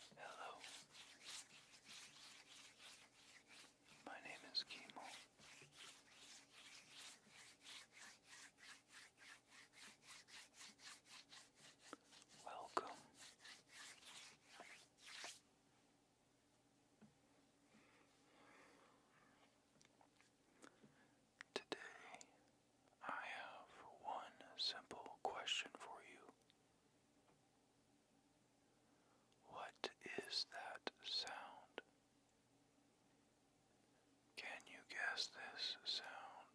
Hello. My name is Kimo. Welcome Today, I have one simple question for you. What is that sound? Can you guess this sound?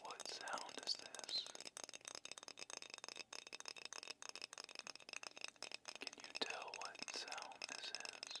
What sound is this? Can you tell what sound this is?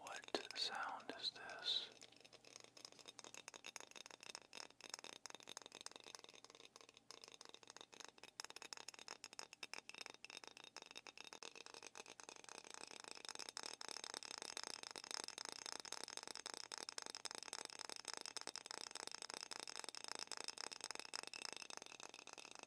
What sound is this?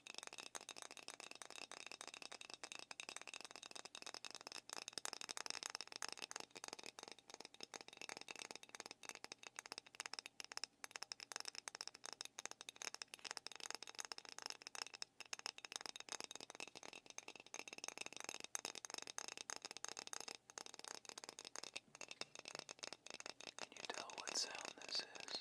Can you tell what sound this is?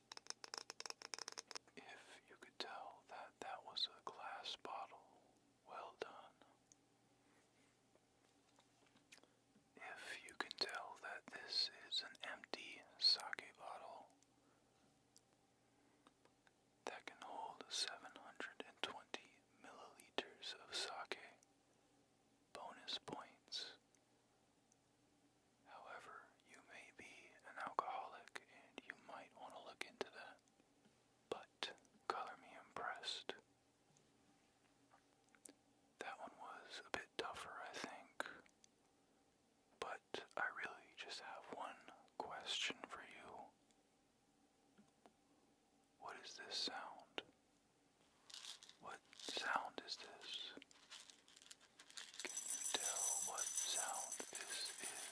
If you could tell that that was a glass bottle, well done. If you can tell that this is an empty sake bottle that can hold 720 milliliters of sake, bonus points. However, you may be an alcoholic and you might want to look into that. But color me impressed. That one was a bit tougher, I think. But I really just have one question for you. What is this sound? What sound is this? Can you tell what sound this is?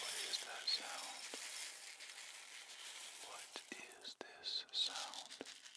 What is that sound? What is this sound?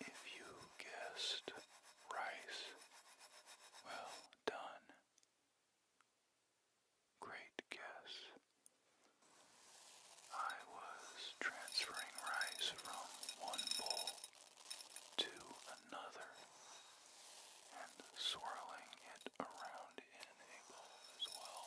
If you guessed rice, well done. Great guess. I was transferring rice from one bowl to another and swirling it around in a bowl as well.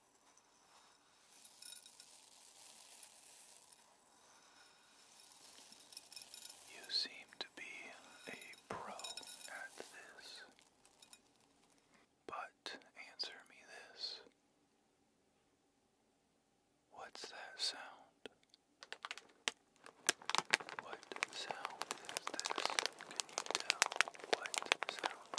You seem to be a pro at this. But answer me this. What's that sound? What sound is this? Can you tell what sound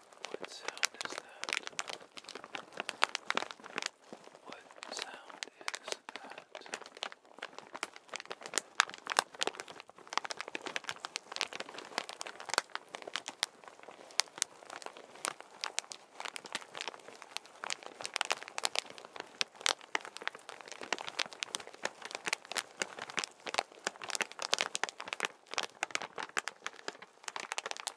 What sound is that? What sound is that?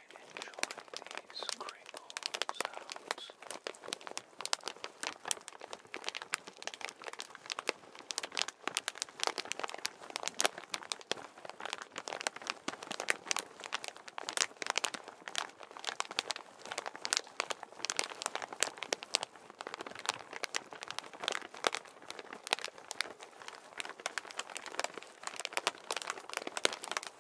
quite enjoying these crinkle sounds. Now, but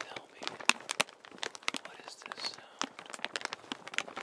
tell me, what is this sound? What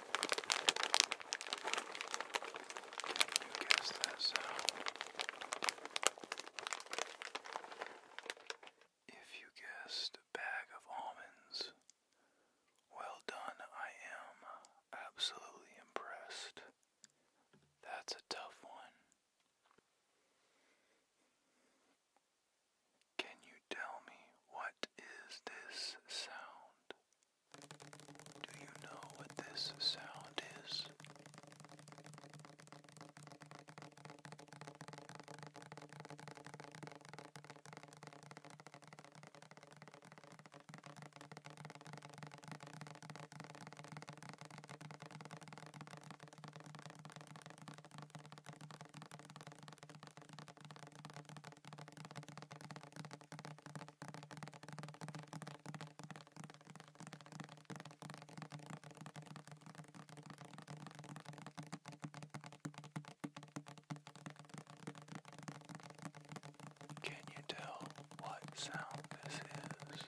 You guess that sound. If you guessed bag of almonds, well done, I am absolutely impressed. That's a tough one. Can you tell me what is this sound? Do you know what this sound is? Can you tell what sound this is?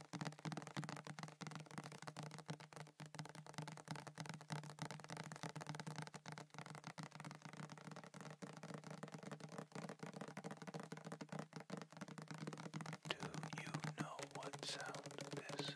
Do you know what sound this is?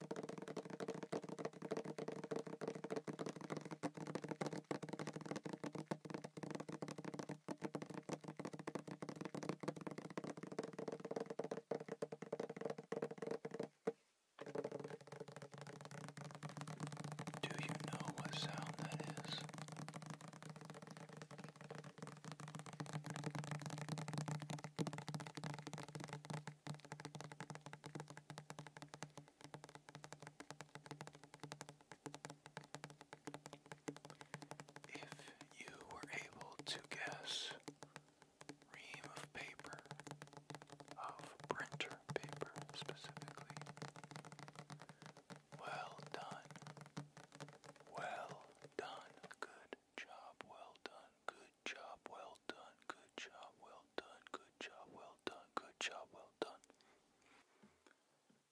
Do you know what sound that is? If you were able to guess ream of paper, of printer paper specifically, well done. Well done. Good job. Well done. Good job, well done. Good job, well done. Good job, well done. Good job, well done.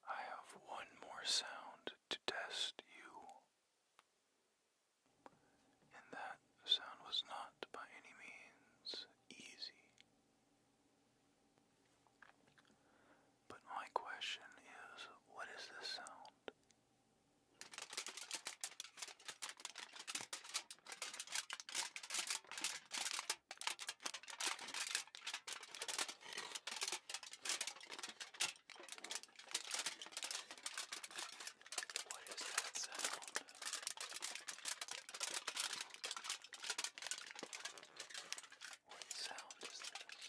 I have one more sound to test you. And that sound was not by any means easy. But my question is what is this sound? What is that sound? What sound is this?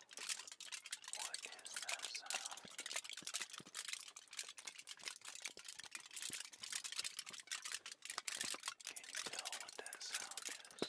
What is that sound? Can you tell what that sound is?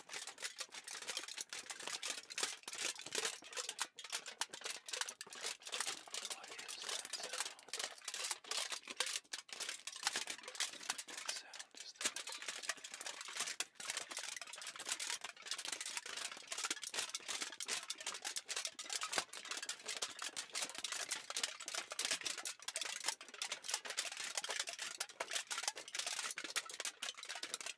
What is that sound? What sound is that? What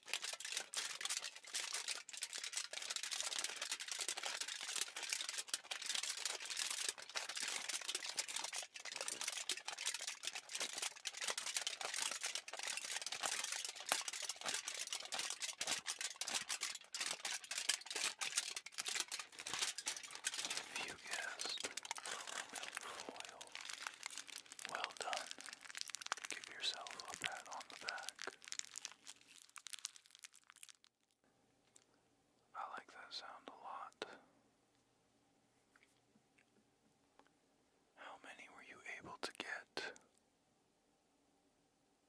If you guessed aluminum foil, well done. Give yourself a pat on the back. I like that sound a lot. How many were you able to get?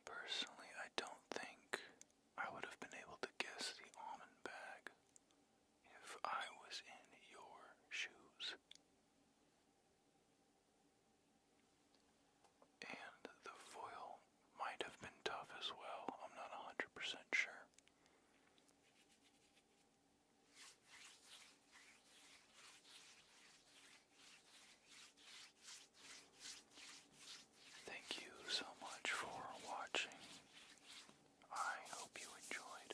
Personally, I don't think I would have been able to guess the almond bag if I was in your shoes. And the foil might have been tough as well. I'm not 100% sure. Thank you so much for watching. I hope you enjoyed.